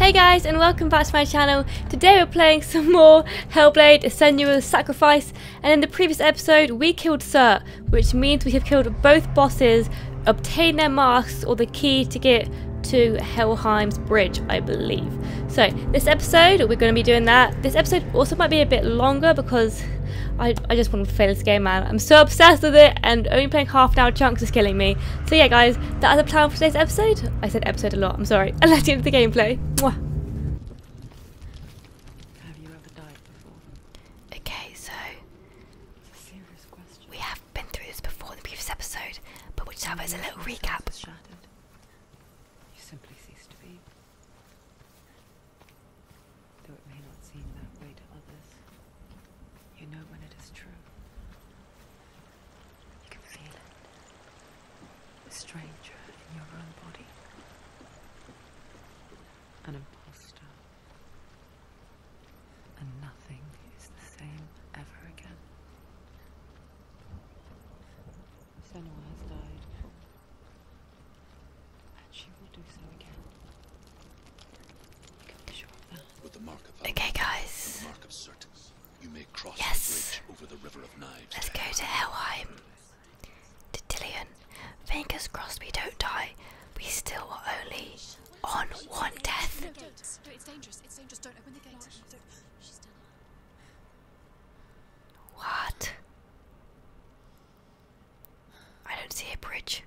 Hey guys and welcome back to my channel. Today we're playing some more Hellblade Senua's Sacrifice and in the previous episode we killed Sir, which means we have killed both bosses, obtained their masks or the key to get to Helheim's bridge I believe. So this episode we're going to be doing that. This episode also might be a bit longer because I, I just want to play this game man. I'm so obsessed with it and only playing half an hour chunks is killing me. So yeah guys, that is a plan for today's episode. I said episode a lot, I'm sorry. And let you into the gameplay. Mwah. Have you ever died before? Okay, so it's a serious question. We have been through this before in the previous episode, but which will just a little recap. You simply cease to be. Though it may not seem that way to others. You know when it is true. You can feel it. A stranger in your own body. An impostor, And nothing is the same ever again. Senua has died. And she will do so again. You can be sure of that. Okay guys. You may cross yes. bridge over the river of knives. Let's go to Helheim. To Dillion. Fingers crossed we don't die. We still are only on one death. it's dangerous. Don't open the gate. What? I don't see a bridge.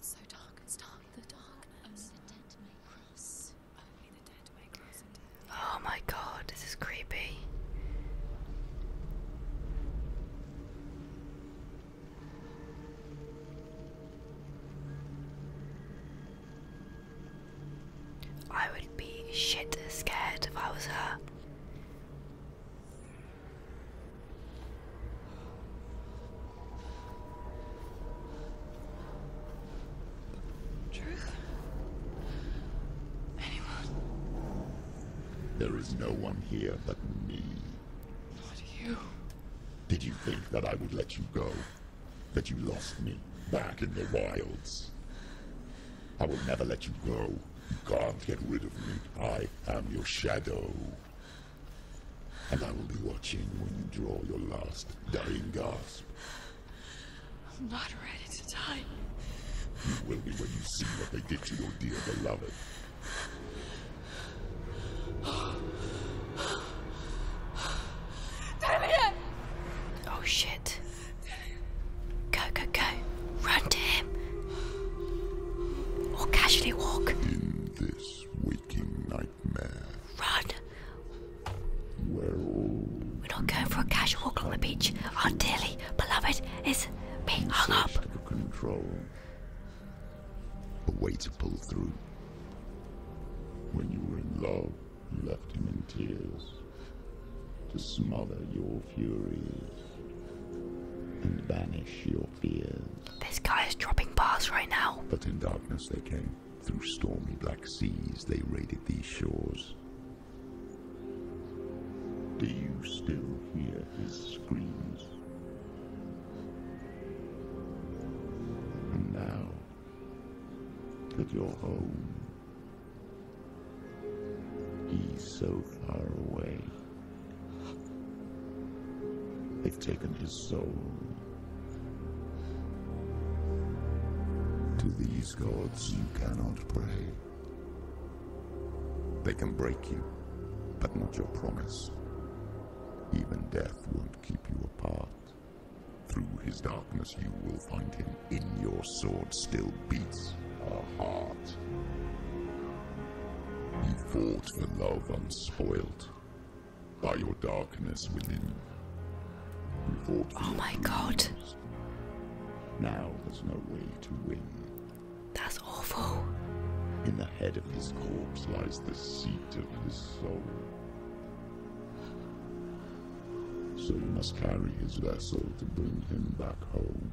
So dark, it's dark, the darkness. Only oh, dead may cross. Oh my god, this is creepy. I would be shit scared if I was her. Truth? Anyone? There is no one here but me. Not you. Did you think that I would let you go? That you lost me back in the wilds? I will never let you go. You can't get rid of me. I am your shadow. And I will be watching when you draw your last dying gasp. I'm not ready to die. You will be when you see what they did to your dear beloved. Damien! Oh shit. Go, go, go. Run to him. Or casually walk. In this waking night. Run! We're not going for a casual walk on the beach. Our dearly beloved is being hung up. A way to pull through. When you were in love, you left him in tears to smother your furies and banish your fears. This guy is dropping bars right now. But in darkness they came. Through stormy black seas they raided these shores. Do you still hear his screams? And now that your home, he's so far away. They've taken his soul to these gods you cannot pray. They can break you, but not your promise. Even death won't keep you apart. Through his darkness you will find him. In your sword still beats a heart. You fought for love unspoiled by your darkness within. You oh my god. Now there's no way to win. That's awful. In the head of this corpse lies the seat of his soul. So you must carry his vessel to bring him back home.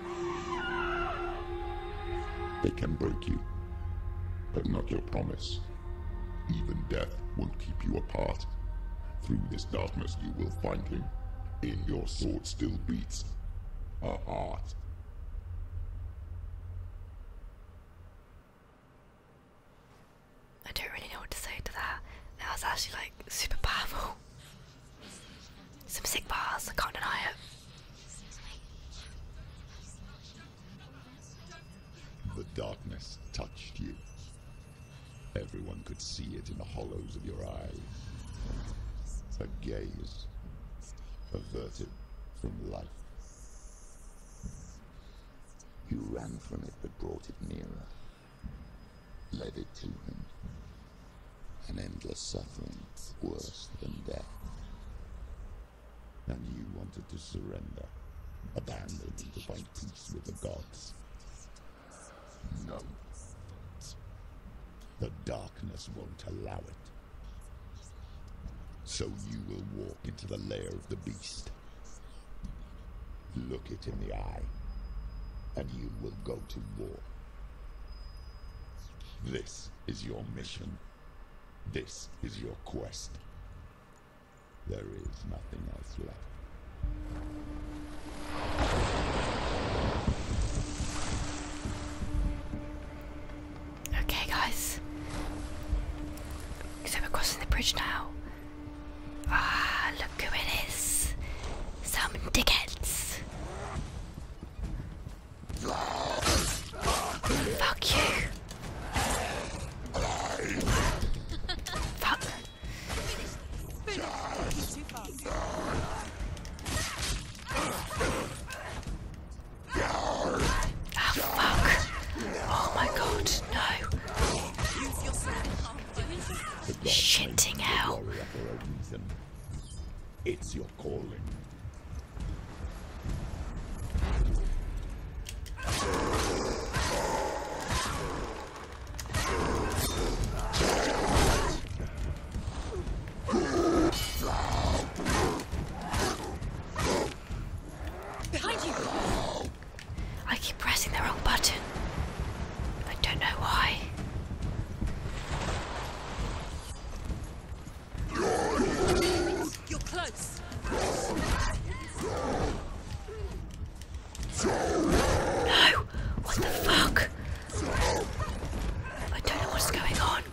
They can break you, but not your promise. Even death won't keep you apart. Through this darkness you will find him. In your sword still beats a heart. I don't really know what to say to that. That was actually like super powerful. Some sick bars, I can't deny it. The darkness touched you. Everyone could see it in the hollows of your eyes. A gaze averted from life. You ran from it but brought it nearer. Led it to him. An endless suffering worse than death. And you wanted to surrender, abandon and to find peace with the gods. No. The darkness won't allow it. So you will walk into the lair of the beast. Look it in the eye, and you will go to war. This is your mission. This is your quest. There is nothing else left. Okay, guys. So we're crossing the bridge now. Ah, look who it is. Some dickheads. Fuck you. Fuck. Oh, fuck. Oh my god, no. Shitting hell. It's your calling. Behind you! I keep pressing the wrong button. I don't know why. You're close. No! What the fuck? I don't know what's going on.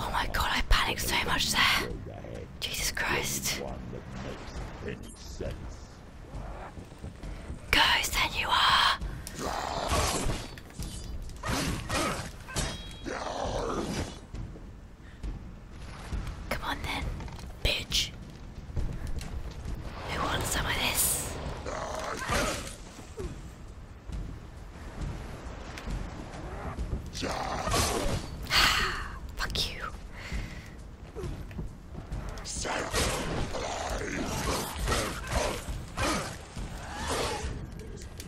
Oh my god, I panicked so much there. Jesus Christ. Guys, there you are. Come on then, bitch. Who wants some of this? Fuck you.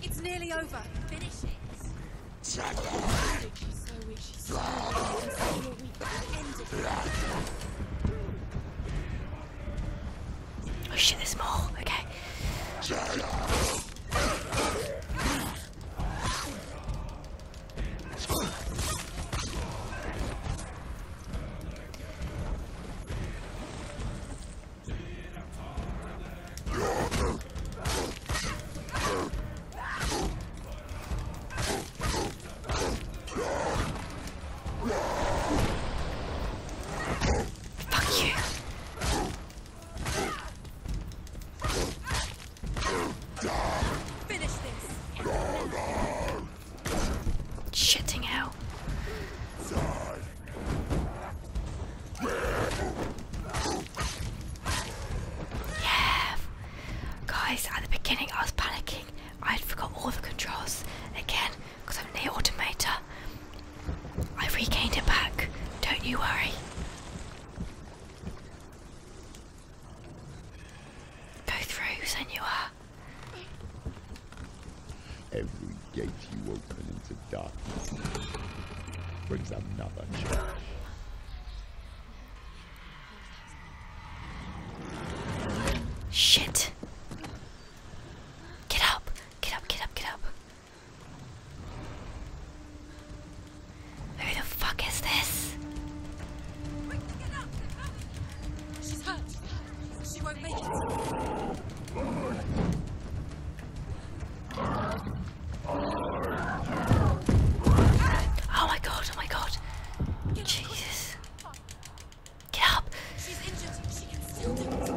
It's nearly over. Finish it. Oh shit, there's more. Okay. Fuck you! guys. at the beginning I was panicking. I had forgot all the controls. Again, because I'm the Automator. I've regained it back, don't you worry. Go through, Senora. Every gate you open into darkness brings another challenge. Shit. Get up! Get up, get up, get up! Who the fuck is this? She's hurt! She won't make it! Oh my god, oh my god. Jesus. Get up. She's injured. She can still do it.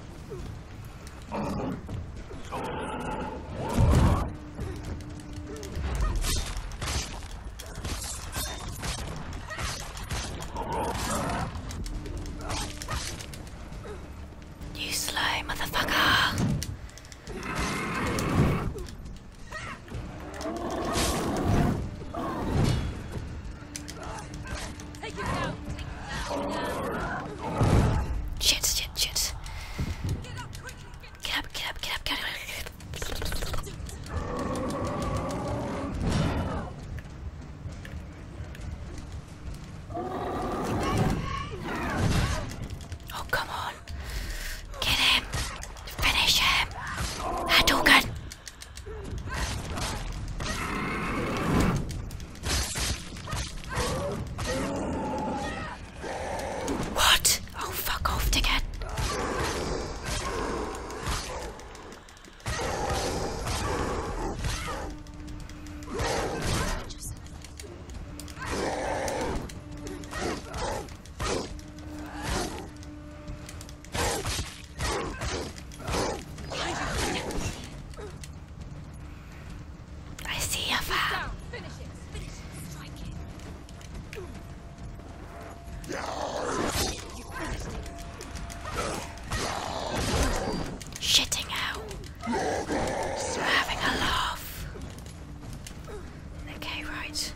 You slow, motherfucker. Take it out. Shit, shit, shit. Get up, get up, get up, get up. Oh, come on. Get him. Finish him. Hadouken. What? Oh, fuck off, dickhead. I see a foul. You Shitting out. having a laugh. Okay, right.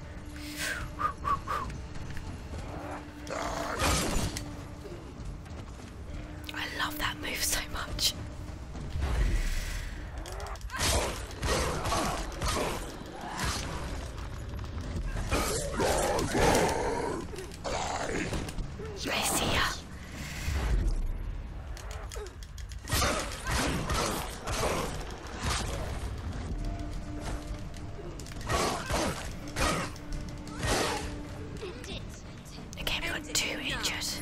I love that move so much. see ya. I we've got two inches.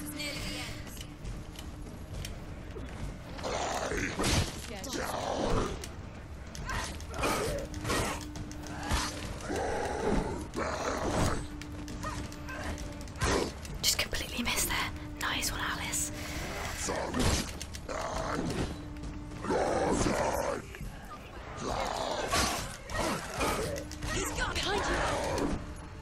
Just completely missed there. Nice one, Alice.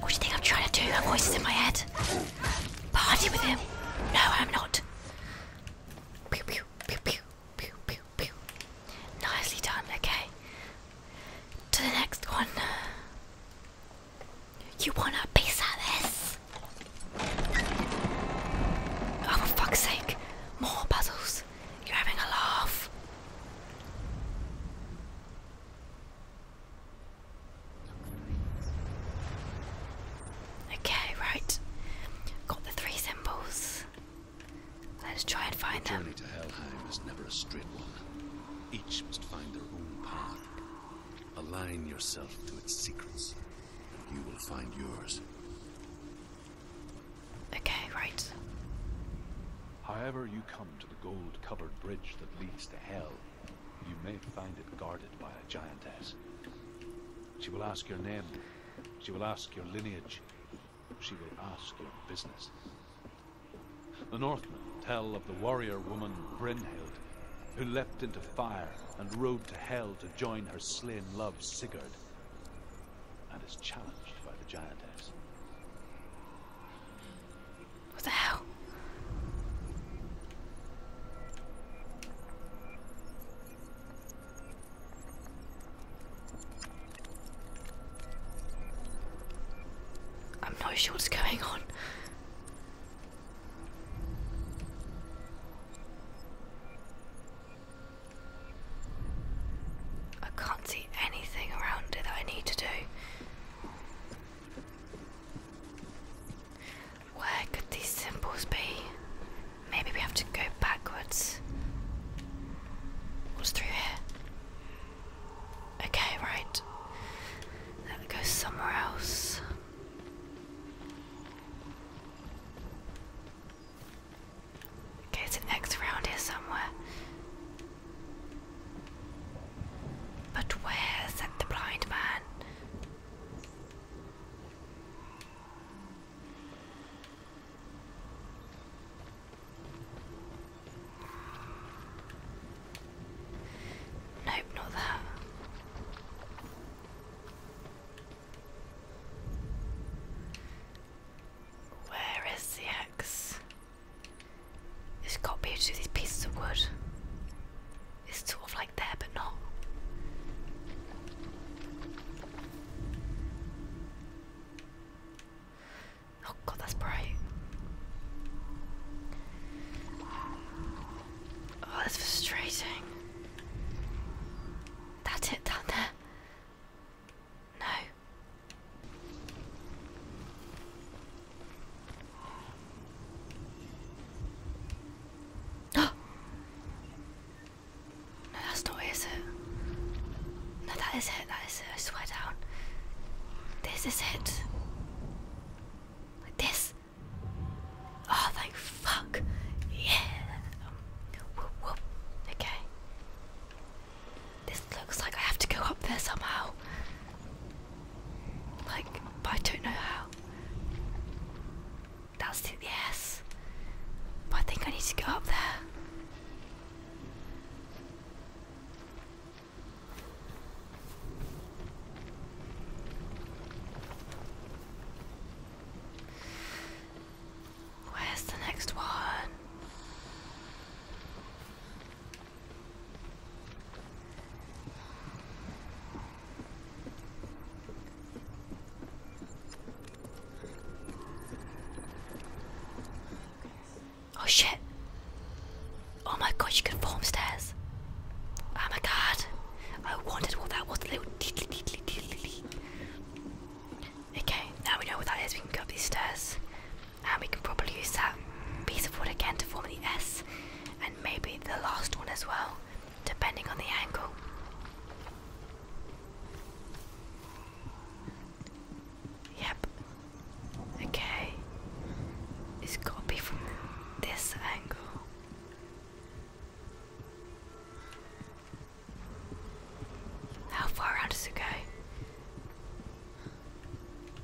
What do you think I'm trying to do? That voice is in my head. Party with him. No, I'm not. Pew, pew, pew, pew, pew, pew, pew. Nicely done, okay to the next one. You want to piece of this? Oh, for fuck's sake. More puzzles. You're having a laugh. Okay, right. Got the three symbols. Let's try and find the them. to Helheim is never a straight one. Each must find their own path. Align yourself to its secrets. You will find yours. Okay, right. However you come to the gold-covered bridge that leads to Hell, you may find it guarded by a giantess. She will ask your name. She will ask your lineage she will ask your business. The Northmen tell of the warrior woman Brynhild, who leapt into fire and rode to Hell to join her slain love Sigurd, and is challenged by the giantess. What the hell? I'm not sure what's going on. I can't see anything around it that I need to do. Where could these symbols be? Maybe we have to go backwards. What's through here? Okay, right. Let me go somewhere else. Okay, there's an X around here somewhere? But where said the blind man? Nope, not that. Where is the X? there There's got to these pieces of wood. It's sort of like there, but not. Oh god, that's bright. Oh, that's frustrating. That's it down there. No. no, that's not it? No, that is it. That I swear down. This is it. Like this. Oh, thank fuck. Yeah. Okay. This looks like I have to go up there somehow. Like, but I don't know how. That's the yes. But I think I need to go up there. Where's the next one? Oh shit. Oh my god, you can form stairs. Oh my god. I wondered what that was. Okay, now we know what that is. We can go up these stairs. And we can probably use that piece of wood again to form the S. And maybe the last one as well, depending on the angle. Yep. Okay. It's gotta be from this angle. How far out does it go?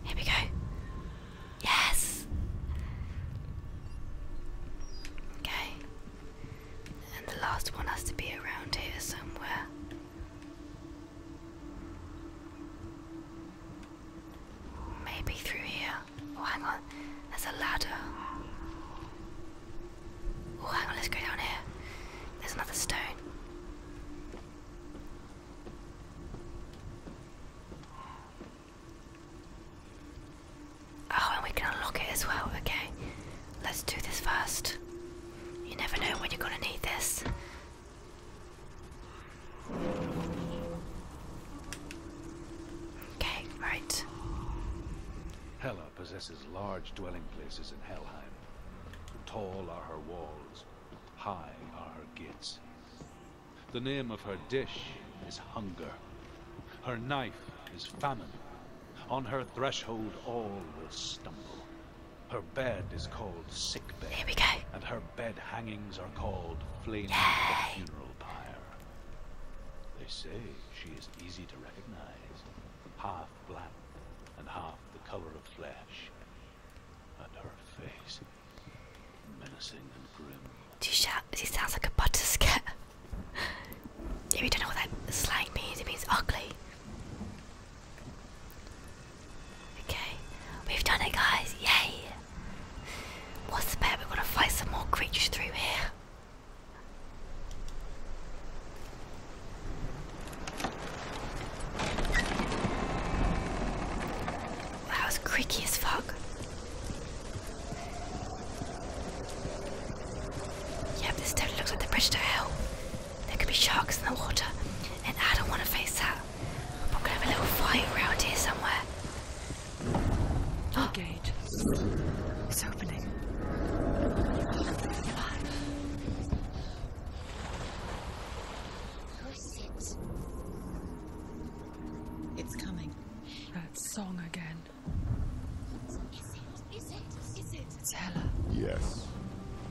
Here we go. Yes. Okay. And the last one has to be around here somewhere. Maybe through here. Oh, hang on. There's a ladder. Oh, hang on. Let's go down here. There's another stone. Oh, and we can unlock it as well. Okay. Let's do this first. You never know when you're gonna need this. Okay, right. Hela possesses large dwelling places in Helheim. Tall are her walls, high are her gates. The name of her dish is hunger. Her knife is famine. On her threshold all will stumble. Her bed is called sick bed. And her bed hangings are called flaming funeral pyre. They say she is easy to recognize, half black and half the color of flesh, and her face menacing and grim. She, she sounds like a butter skirt. if you don't know what that slang means, it means ugly. Okay, we've done it, guys! Yay! What's the bet? we are going to fight some more creatures through here. That was creaky as fuck. Yep, this totally looks like the bridge to hell. There could be sharks in the water, and I don't want to face that. We're gonna have a little fight around here somewhere. Oh. Gate. It's opening. Come Who's it? It's coming. That song again. Is it? Is it? Is it? It's Yes.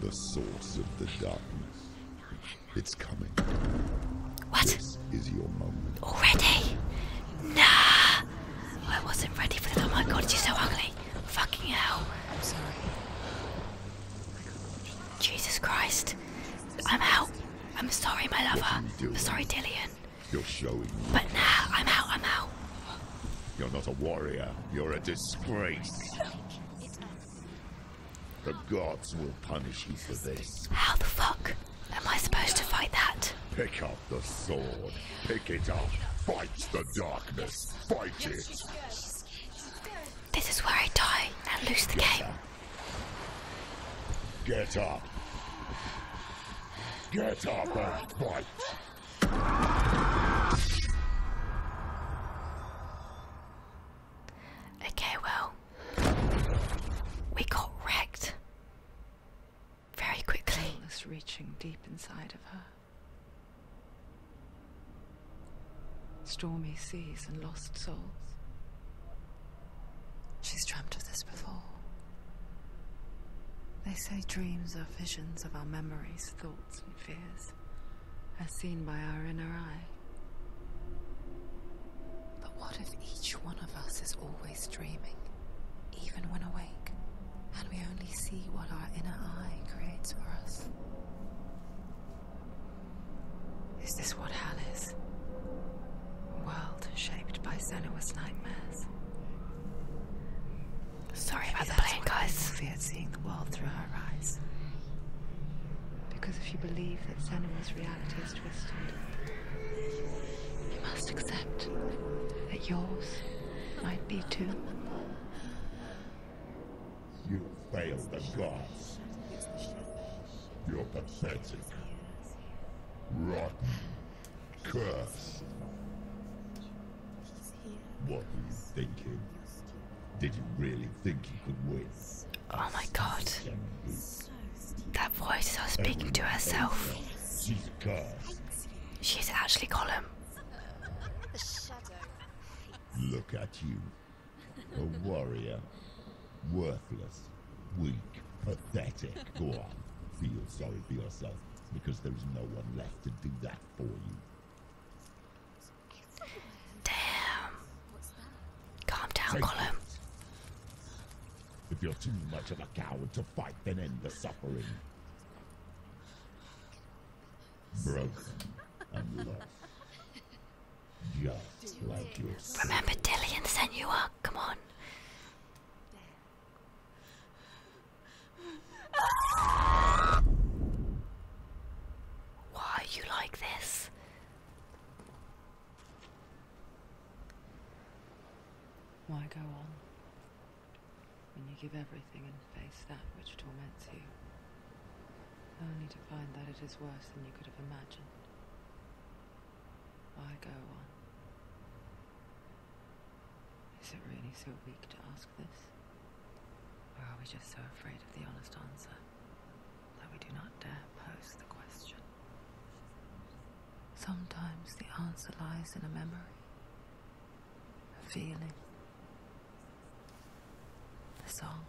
The source of the darkness. It's coming. What? your moment. Already? Nah. I wasn't ready for that. Oh my god, she's so ugly. Fucking hell. I'm sorry. Jesus Christ. I'm out. I'm sorry, my lover. I'm sorry, Dillian. You're showing. But now I'm out. I'm out. You're not a warrior. You're a disgrace. The gods will punish you for this. How the fuck am I supposed to fight that? Pick up the sword. Pick it up. Fight the darkness. Fight it. This is where I die and lose the game. Get up. Get up and fight. Okay, well, we got wrecked very quickly. Was reaching deep inside of her. Stormy seas and lost souls. She's dreamt of this before. They say dreams are visions of our memories, thoughts and fears as seen by our inner eye. But what if each one of us is always dreaming, even when awake, and we only see what our inner eye creates for us? Is this what hell is? A world shaped by Senua's nightmares. Sorry about the plane, guys at seeing the world through her eyes. Because if you believe that Senemal's reality is twisted, you must accept that yours might be too. You fail the gods. You're pathetic. Rotten. Cursed. What were you thinking? Did you really think you could win? Oh my god. That voice is her speaking to herself. She's actually calling. Look at you. A warrior. Worthless. Weak. Pathetic. Go on. Feel sorry for yourself because there's no one left to do that for you. Damn. Calm down, Column. If you're too much of a coward to fight, then end the suffering. Broken and lost. Just like yours. Remember, Dillion, sent you up. Come on. Why are you like this? Why go on when you give everything and face that which torments you, only to find that it is worse than you could have imagined? Why go on? Is it really so weak to ask this? Or are we just so afraid of the honest answer that we do not dare pose the question? Sometimes the answer lies in a memory, a feeling, a song.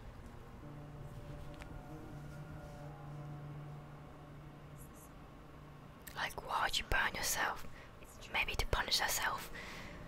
Like, why would you burn yourself? Maybe to punish yourself.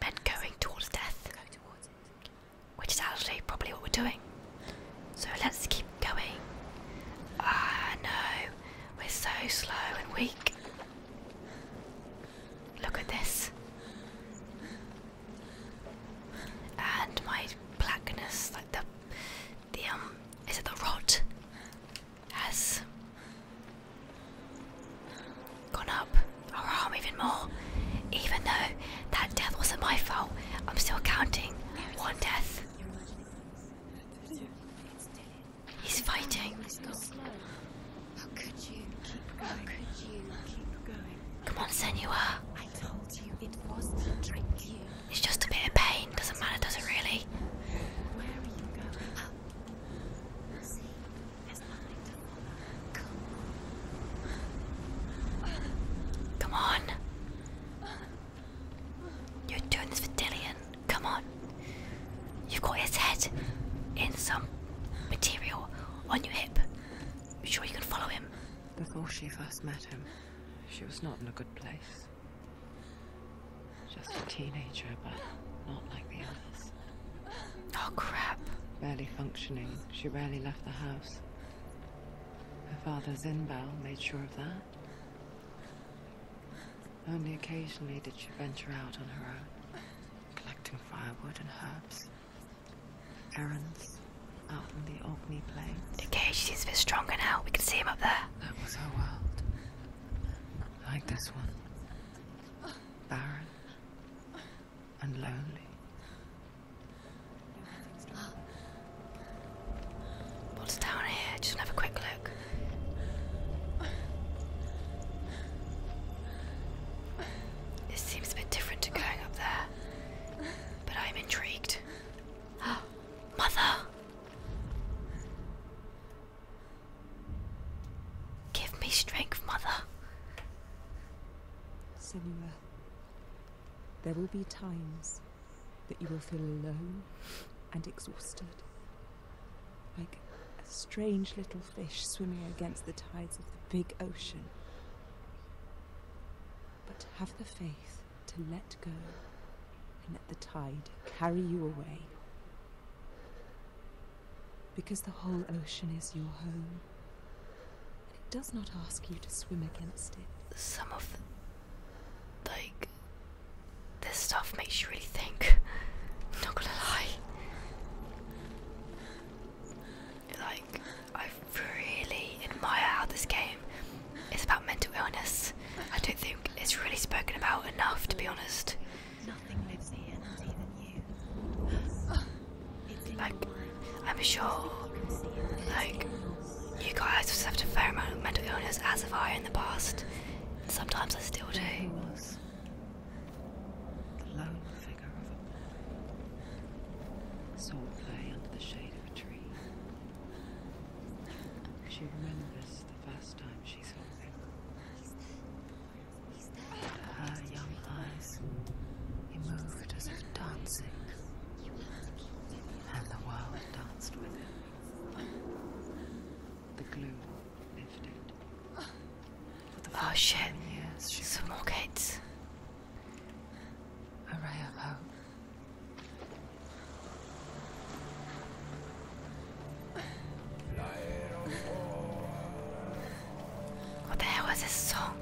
men going towards death, which is actually probably what we're doing. So let's keep going. Ah no, we're so slow and weak. Look at this. And my blackness, like the the um, is it the rot, Yes gone up our arm even more. Even though that death wasn't my fault, I'm still counting one death. He's fighting. Come on, Senor. I told you it was a trick. It's just a bit of pain. Doesn't matter, does not really? Come on. You're doing this for Dillian. Come on. You got his head in some material on your hip. i sure you can follow him. Before she first met him, she was not in a good place. Just a teenager, but not like the others. Oh, crap. Barely functioning. She rarely left the house. Her father, Zinbao, made sure of that. Only occasionally did she venture out on her own, collecting firewood and herbs. Errands out in the Orkney Plains. The cage seems a bit stronger now. We can see him up there. That was her world. Like this one. Baron and lonely. What's down here? Just have a quick look. This seems a bit different to going up there, but I'm intrigued. Mother! Give me strength, Mother. Senua, there will be times that you will feel alone and exhausted. Like a strange little fish swimming against the tides of the big ocean. But have the faith to let go and let the tide carry you away. Because the whole ocean is your home. And it does not ask you to swim against it. Some of like. this stuff makes you really think. not gonna lie. Like, I really admire how this game is about mental illness. I don't think it's really spoken about enough, to be honest. Nothing lives here, not even you. It's like, I'm sure, like, you guys have suffered a fair of mental illness, as of I in the past. Sometimes I still do. The lone figure play under the shade of a tree. She remembers the first time she saw him. Her young eyes moved as her dancing, and the world danced with it. The gloom lifted. Oh shit, years, A ray of hope. What the hell was this song?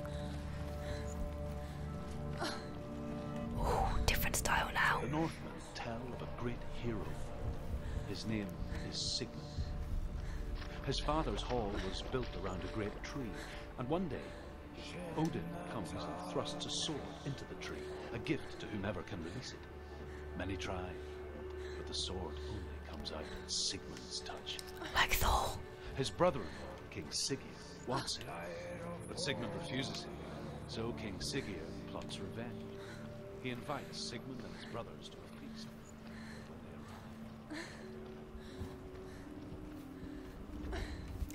Ooh, different style now. The Northmen tell of a great hero. His name is Sigmund. His father's hall was built around a great tree, and one day Odin comes and thrusts a sword into the tree, a gift to whomever can release it. Many try, but the sword only comes out at Sigmund's touch. Like Thor. His brother-in-law, King Siggeir, wants it, but Sigmund refuses him. So King Siggeir plots revenge. He invites Sigmund and his brothers to a feast.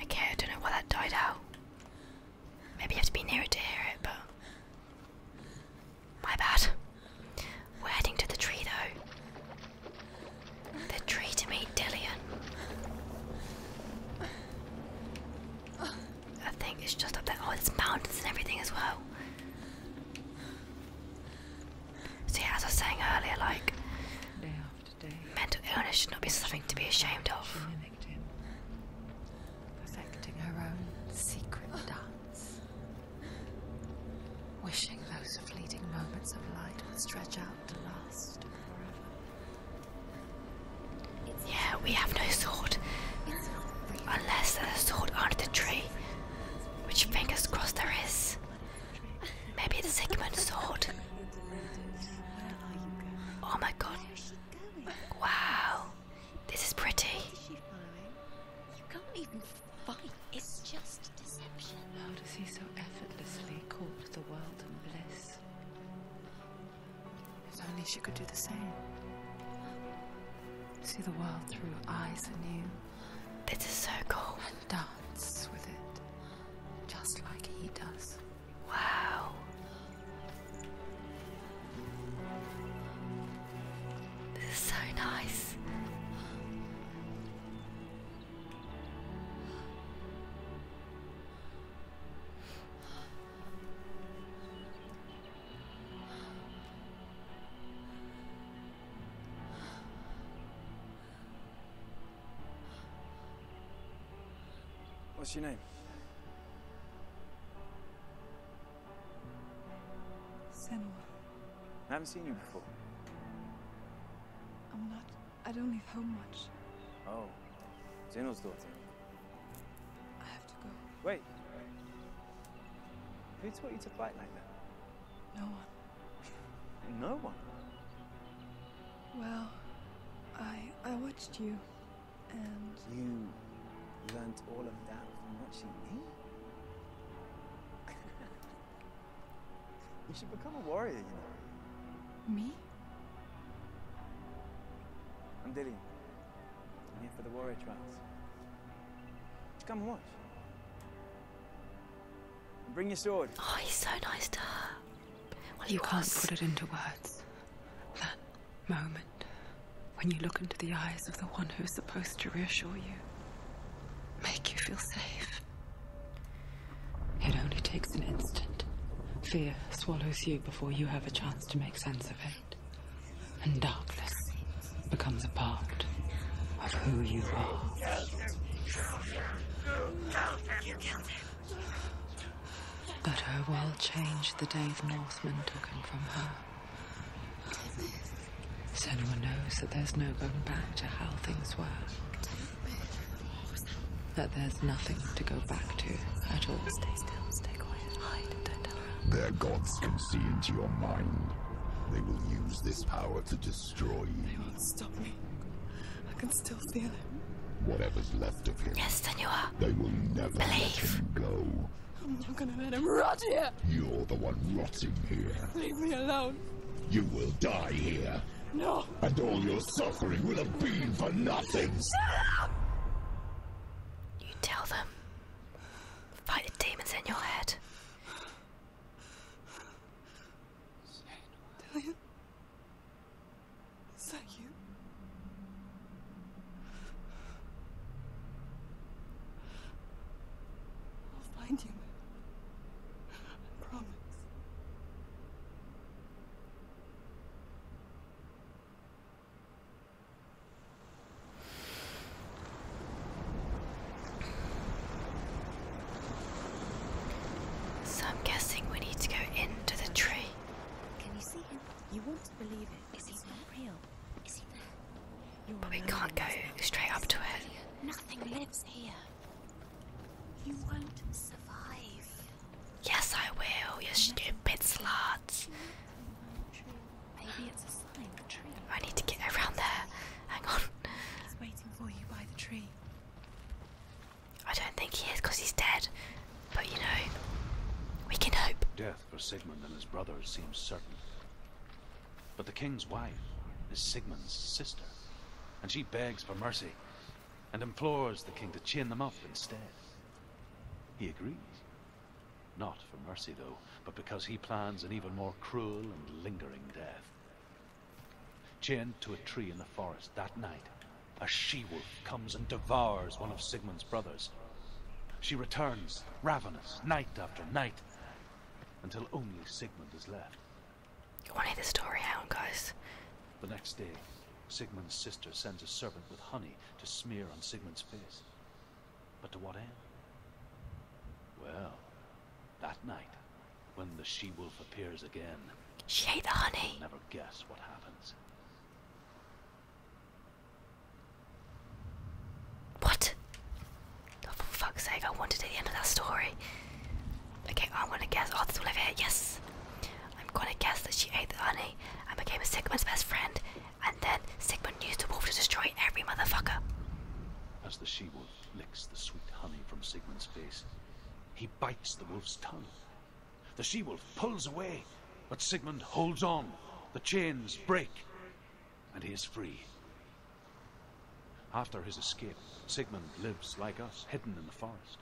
Okay, I don't know why that died out. Maybe you have to be near it to hear it, but my bad. We're heading to the tree though. The tree to meet Dillian. I think it's just up there. Oh, there's mountains and everything as well. See, yeah, as I was saying earlier, like day after day, mental illness should not be something to be ashamed of. A her own secret dance wishing those fleeting moments of light stretch out to last forever. yeah, we have no sword. Unless there's a sword under the tree, which fingers crossed there is. Maybe the Sigmund sword. Oh my god. Wow. This is pretty fine. It's just deception. How does he so effortlessly court the world and bliss? If only she could do the same. See the world through eyes anew. This is so cool. dance with it, just like he does. Wow. This is so nice. What's your name? Senua. I haven't seen you before. I'm not... I don't leave home much. Oh. Zeno's daughter. I have to go. Wait. Who taught you to fight like that? No one. no one? Well, I... I watched you, and... You learned all of that from watching me? you should become a warrior, you know. Me? I'm Dillian. I'm here for the warrior trials. Just come and watch. bring your sword. Oh, he's so nice to her. Well, you can't put it into words. That moment when you look into the eyes of the one who is supposed to reassure you, make you feel safe. It only takes an instant. Fear swallows you before you have a chance to make sense of it. And darkness becomes a part of who you are. But her world changed the day the Northmen took him from her. So anyone knows that there's no going back to how things were. That there's nothing to go back to at all. Stay still, stay quiet, hide, Their gods can see into your mind. They will use this power to destroy you. They won't stop me. I can still feel him. Whatever's left of him. Yes, Senor. They will never Believe. go. I'm not gonna let him rot here! You're the one rotting here. Leave me alone. You will die here. No. And all your suffering will have been for nothing. Shut You tell them. Fight the demons in your head. Dillian? Is that you? I'll find you. I promise. So I'm guessing we need to go into the tree. Can you see him? You want to believe it. Is he not real? But we can't go straight up to it. Nothing lives here. You won't survive. Yes, I will, you stupid sluts. I need to get around there. Hang on. I don't think he is because he's dead. But you know, we can hope. Death for Sigmund and his brothers seems certain. But the king's wife is Sigmund's sister, and she begs for mercy and implores the king to chain them up instead. He agrees. Not for mercy, though, but because he plans an even more cruel and lingering death. Chained to a tree in the forest that night, a she-wolf comes and devours one of Sigmund's brothers. She returns, ravenous, night after night, until only Sigmund is left. You want to hear the story out, guys? The next day, Sigmund's sister sends a servant with honey to smear on Sigmund's face. But to what end? Well, that night, when the she-wolf appears again, she ate the honey. never guess what happens. What? Oh, for fuck's sake, I wanted at the end of that story. Okay, I want to guess. Oh, that's all i here? Yes. I'm going to guess that she ate the honey and became Sigmund's best friend, and then Sigmund used the wolf to destroy every motherfucker. As the she wolf licks the sweet honey from Sigmund's face, he bites the wolf's tongue. The she wolf pulls away, but Sigmund holds on. The chains break and he is free. After his escape, Sigmund lives, like us, hidden in the forest.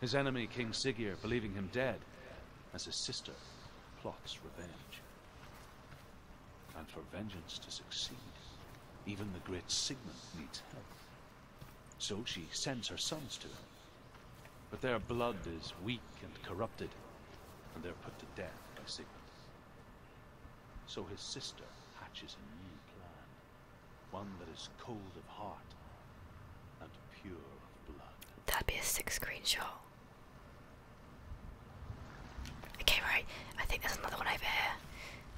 His enemy, King Siggeir, believing him dead, as his sister plots revenge. And for vengeance to succeed, even the great Sigmund needs help. So she sends her sons to him. But their blood is weak and corrupted, and they're put to death by Sigmund. So his sister hatches a new plan, one that is cold of heart and pure of blood. That'd be a sixth green shot. Okay, right, I think there's another one over here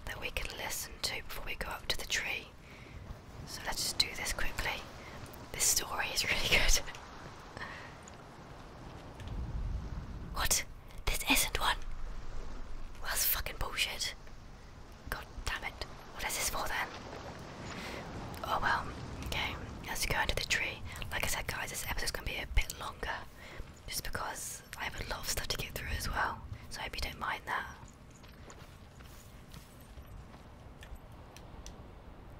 that we can listen to before we go up to the tree. So let's just do this quickly. This story is really good. What? This isn't one. Well, that's fucking bullshit. God damn it. What is this for then? Oh well. Okay, let's go into the tree. Like I said, guys, this episode's gonna be a bit longer. Just because I have a lot of stuff to get through as well. So I hope you don't mind that.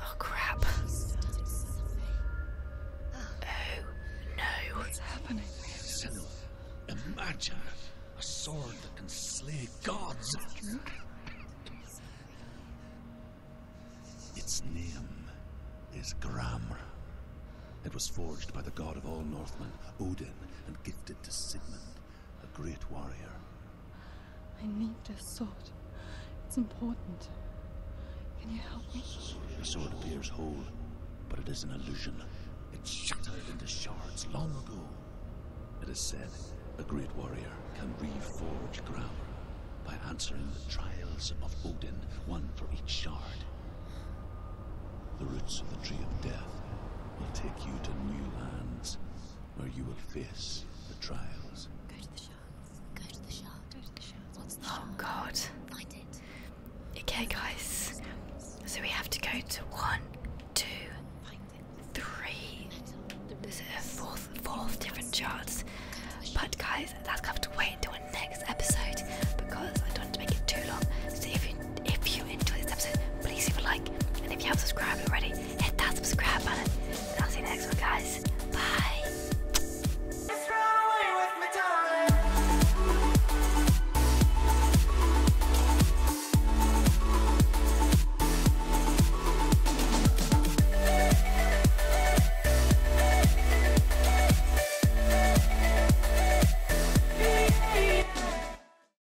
Oh crap. Oh no. What's happening? Senua, a a sword that can slay gods. Its name is Gram. It was forged by the god of all Northmen, Odin, and gifted to Sigmund, a great warrior. I need this sword. It's important. Can you help me? The sword appears whole, but it is an illusion. It shattered into shards long ago. It is said a great warrior can reforge ground by answering the trials of Odin, one for each shard. The roots of the Tree of Death will take you to new lands where you will face the trials. Go to the shards. Go to the shards. Oh god. Find it. Okay guys. So we have to go to one, two, three. There's a fourth fourth different charts. But guys, that's gonna have to wait until our next episode because I don't want to make it too long. So you if you enjoyed this episode, please leave a like. And if you haven't subscribed already, hit that subscribe button. And I'll see you next one, guys. Bye.